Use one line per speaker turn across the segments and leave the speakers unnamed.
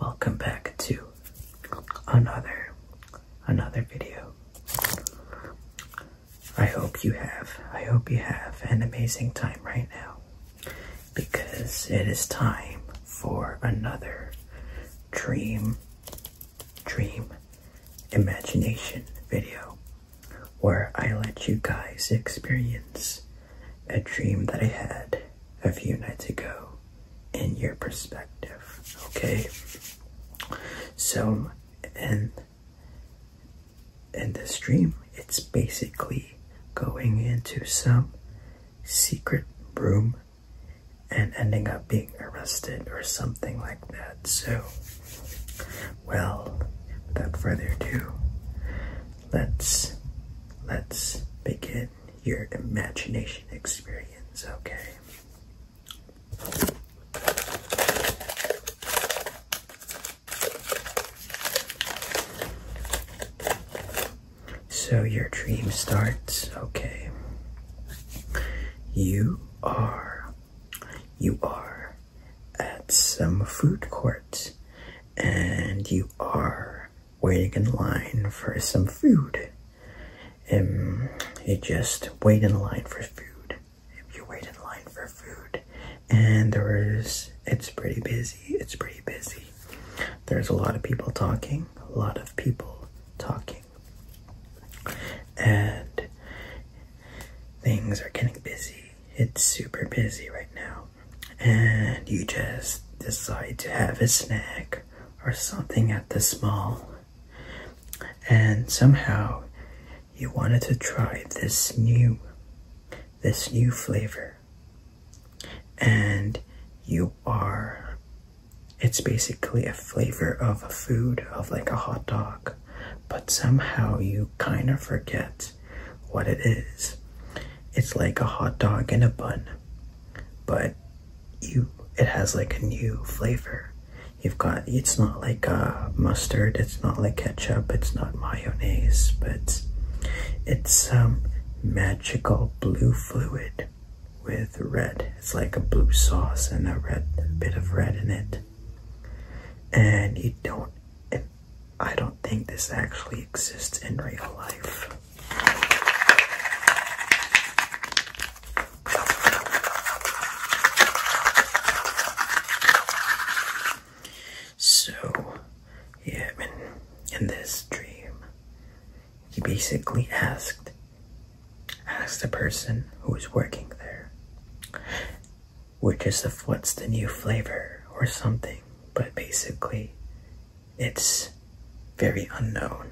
Welcome back to another another video. I hope you have I hope you have an amazing time right now because it is time for another dream dream imagination video where I let you guys experience a dream that I had a few nights ago in your perspective. Okay? So, in, in this dream, it's basically going into some secret room and ending up being arrested or something like that. So, well, without further ado, let's let's begin your imagination experience, okay? So your dream starts, okay. You are you are at some food court and you are waiting in line for some food. Um, you just wait in line for food. You wait in line for food, and there is, it's pretty busy. It's pretty busy. There's a lot of people talking, a lot of people talking, and things are getting busy. It's super busy right now and you just decide to have a snack or something at the mall, and somehow you wanted to try this new this new flavor and you are it's basically a flavor of a food of like a hot dog but somehow you kind of forget what it is. It's like a hot dog in a bun, but you it has like a new flavor. You've got it's not like uh, mustard, it's not like ketchup, it's not mayonnaise, but it's um, magical blue fluid with red. It's like a blue sauce and a red bit of red in it. And you don't I don't think this actually exists in real life. So, yeah, in this dream, he basically asked asked the person who was working there which is of what's the new flavor or something, but basically it's very unknown,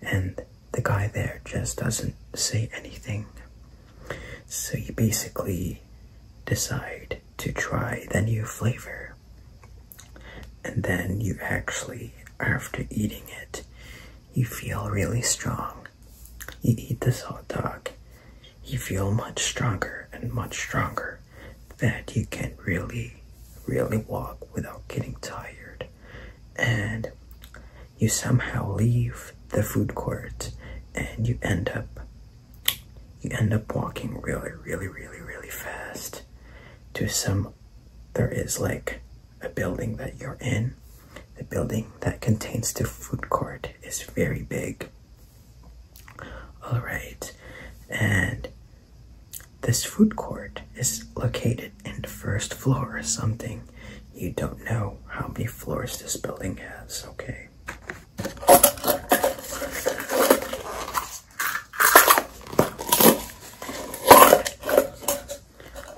and the guy there just doesn't say anything. So you basically decide to try the new flavor, and then you actually, after eating it, you feel really strong you eat this hot dog, you feel much stronger and much stronger that you can really, really walk without getting tired. And you somehow leave the food court and you end up you end up walking really really really really fast to some there is like a building that you're in the building that contains the food court is very big. All right, and this food court is located in the first floor or something. You don't know how many floors this building has, okay?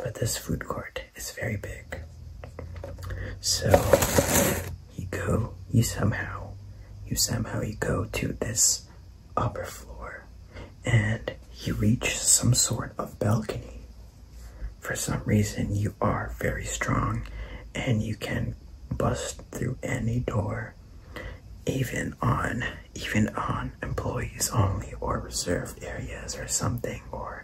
But this food court it's very big. So you go, you somehow, you somehow you go to this upper floor and you reach some sort of balcony. For some reason you are very strong and you can bust through any door even on even on employees only or reserved areas or something or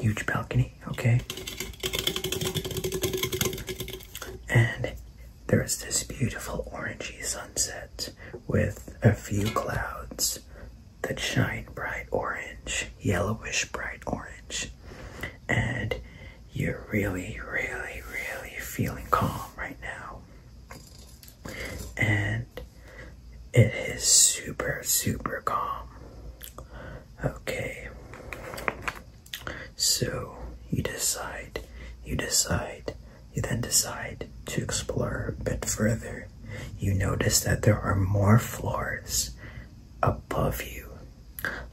huge balcony, okay? And there is this beautiful orangey sunset with a few clouds that shine bright orange, yellowish bright orange. And you're really, really, really feeling calm right now. And it is super, super calm. Okay. So you decide, you decide, you then decide to explore a bit further. You notice that there are more floors above you.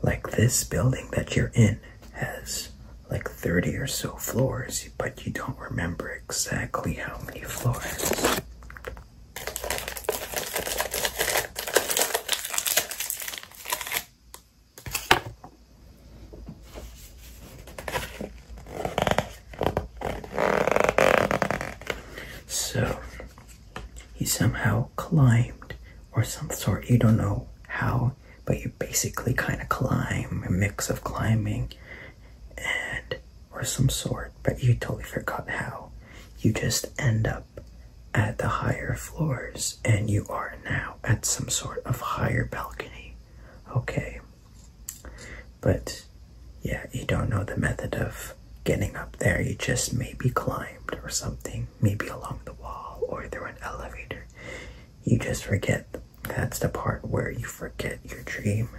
Like this building that you're in has like 30 or so floors, but you don't remember exactly how many floors. So he somehow climbed or some sort, you don't know how, but you basically kind of climb, a mix of climbing and or some sort, but you totally forgot how. You just end up at the higher floors, and you are now at some sort of higher balcony. Okay. But yeah, you don't know the method of getting up there. You just maybe climbed or something, maybe along the wall or through an elevator. You just forget. That's the part where you forget your dream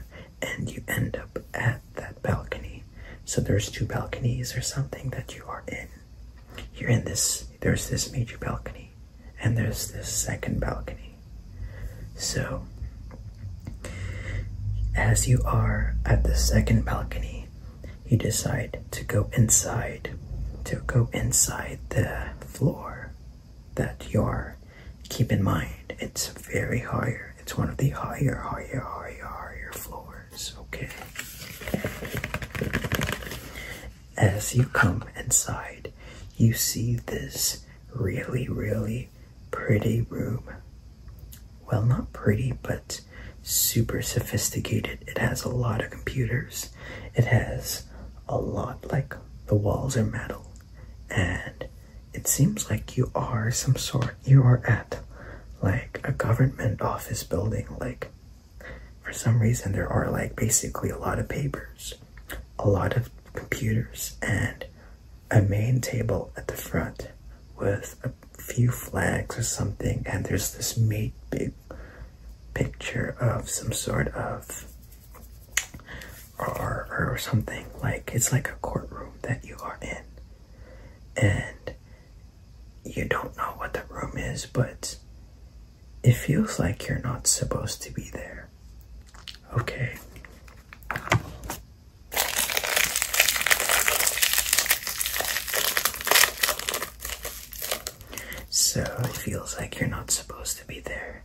and you end up at that balcony. So there's two balconies or something that you are in. You're in this, there's this major balcony, and there's this second balcony. So, as you are at the second balcony, you decide to go inside, to go inside the floor that you are. Keep in mind, it's very higher. It's one of the higher, higher, higher, higher floors. Okay. As you come inside, you see this really, really pretty room. Well, not pretty, but super sophisticated. It has a lot of computers. It has a lot, like the walls are metal and it seems like you are some sort you are at like a government office building like for some reason there are like basically a lot of papers a lot of computers and a main table at the front with a few flags or something and there's this big picture of some sort of or, or, something like it's like a courtroom that you are in and you don't know what the room is but it feels like you're not supposed to be there okay so it feels like you're not supposed to be there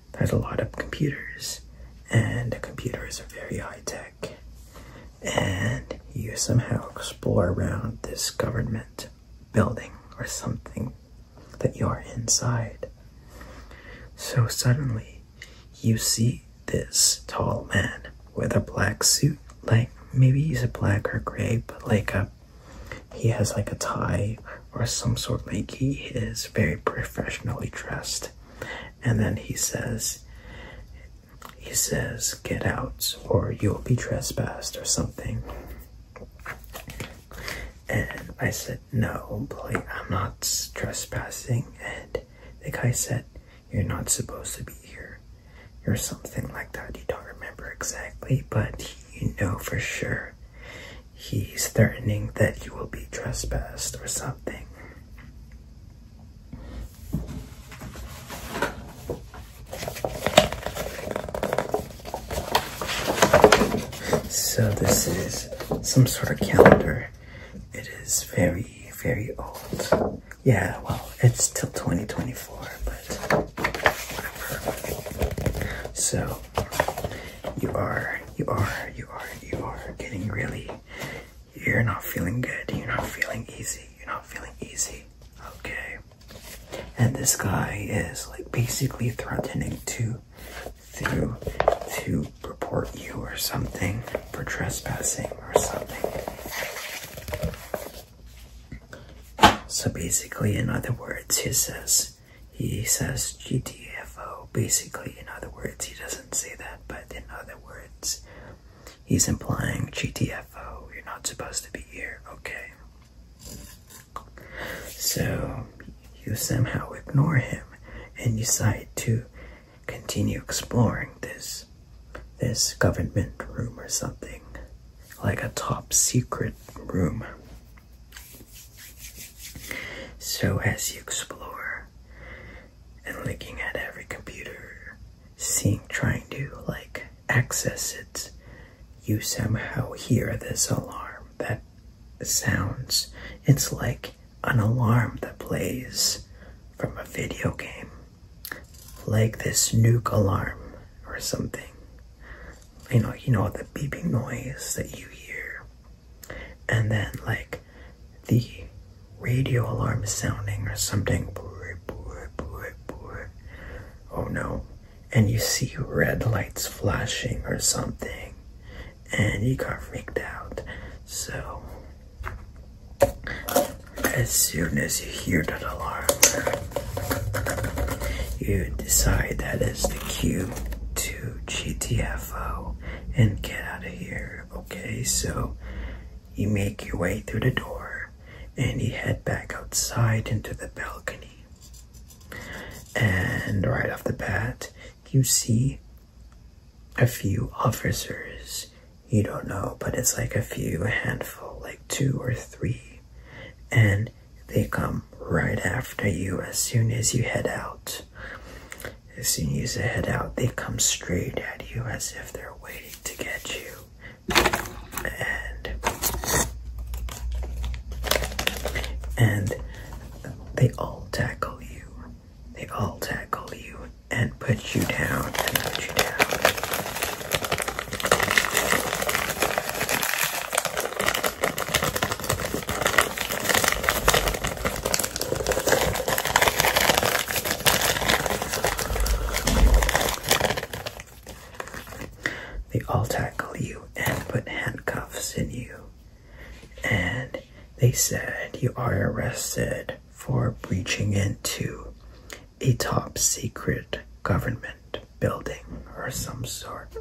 there's a lot of computers, and computers are very high tech. And you somehow explore around this government building or something that you are inside. So suddenly, you see this tall man with a black suit. Like maybe he's a black or gray, but like a he has like a tie or some sort. Like he is very professionally dressed. And then he says, he says, get out or you'll be trespassed or something. And I said, no, boy, I'm not trespassing. And the guy said, you're not supposed to be here or something like that. You don't remember exactly, but you know for sure he's threatening that you will be trespassed or something. So this is some sort of calendar. It is very, very old. Yeah, well, it's till 2024, but whatever. So you are, you are, you are, you are getting really, you're not feeling good. You're not feeling easy. You're not feeling easy. Okay. And this guy is like basically threatening to, to, to report you or something for trespassing or something. So basically, in other words, he says, he says GTFO basically. In other words, he doesn't say that, but in other words, he's implying GTFO, you're not supposed to be here, okay? So you somehow ignore him and decide to continue exploring this this government room or something like a top secret room so, as you explore and looking at every computer, seeing, trying to like access it, you somehow hear this alarm that sounds. It's like an alarm that plays from a video game, like this nuke alarm or something you know, you know, the beeping noise that you hear, and then like the radio alarm sounding or something. Oh no. And you see red lights flashing or something, and you got freaked out. So, as soon as you hear that alarm, you decide that is the cue to GTFO and get out of here. Okay, so you make your way through the door and you head back outside into the balcony. And right off the bat, you see a few officers. You don't know, but it's like a few, a handful, like two or three. And they come right after you as soon as you head out. As soon as you head out, they come straight at you as if they're waiting to get you. And and they all tackle you. They all tackle you and put you down and put you down. They all tackle you and put handcuffs in you. And they said you are arrested for breaching into a top secret government building or some sort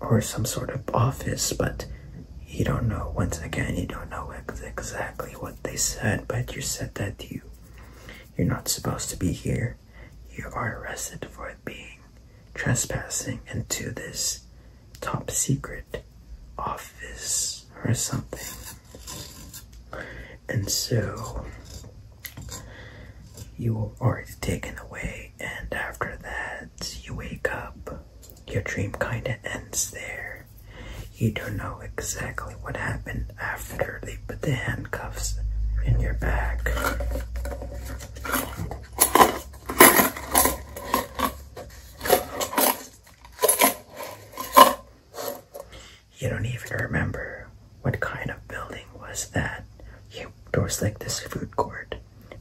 or some sort of office but you don't know once again you don't know exactly what they said but you said that you you're not supposed to be here you are arrested for being trespassing into this top secret office or something and so you were already taken away, and after that, you wake up. Your dream kinda ends there. You don't know exactly what happened after they put the handcuffs in your back. You don't even remember what kind of building was that. You, was like this food court,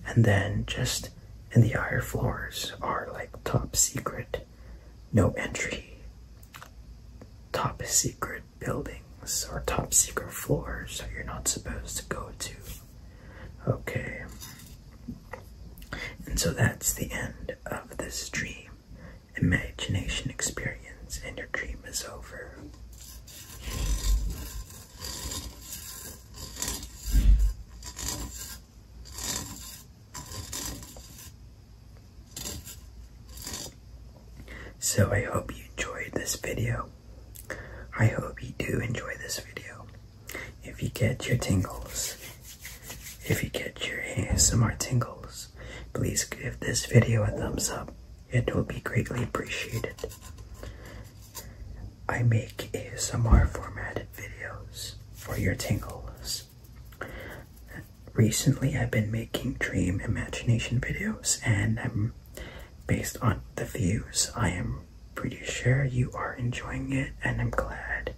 and then just in the higher floors are like top secret, no entry, top secret buildings or top secret floors that you're not supposed to go to. Okay. And so that's the end of this dream imagination experience and your dream is over. So I hope you enjoyed this video. I hope you do enjoy this video. If you get your tingles, if you get your ASMR tingles, Please give this video a thumbs up. It will be greatly appreciated. I make ASMR formatted videos for your tingles. Recently, I've been making dream imagination videos, and based on the views. I am pretty sure you are enjoying it, and I'm glad.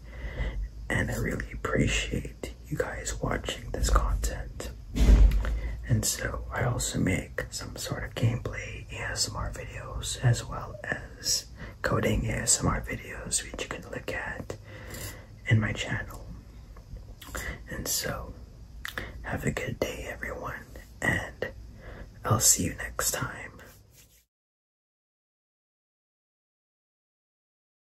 And I really appreciate you guys watching this content. And so I also make some sort of gameplay ASMR videos as well as coding ASMR videos which you can look at in my channel. And so have a good day everyone and I'll see you next time.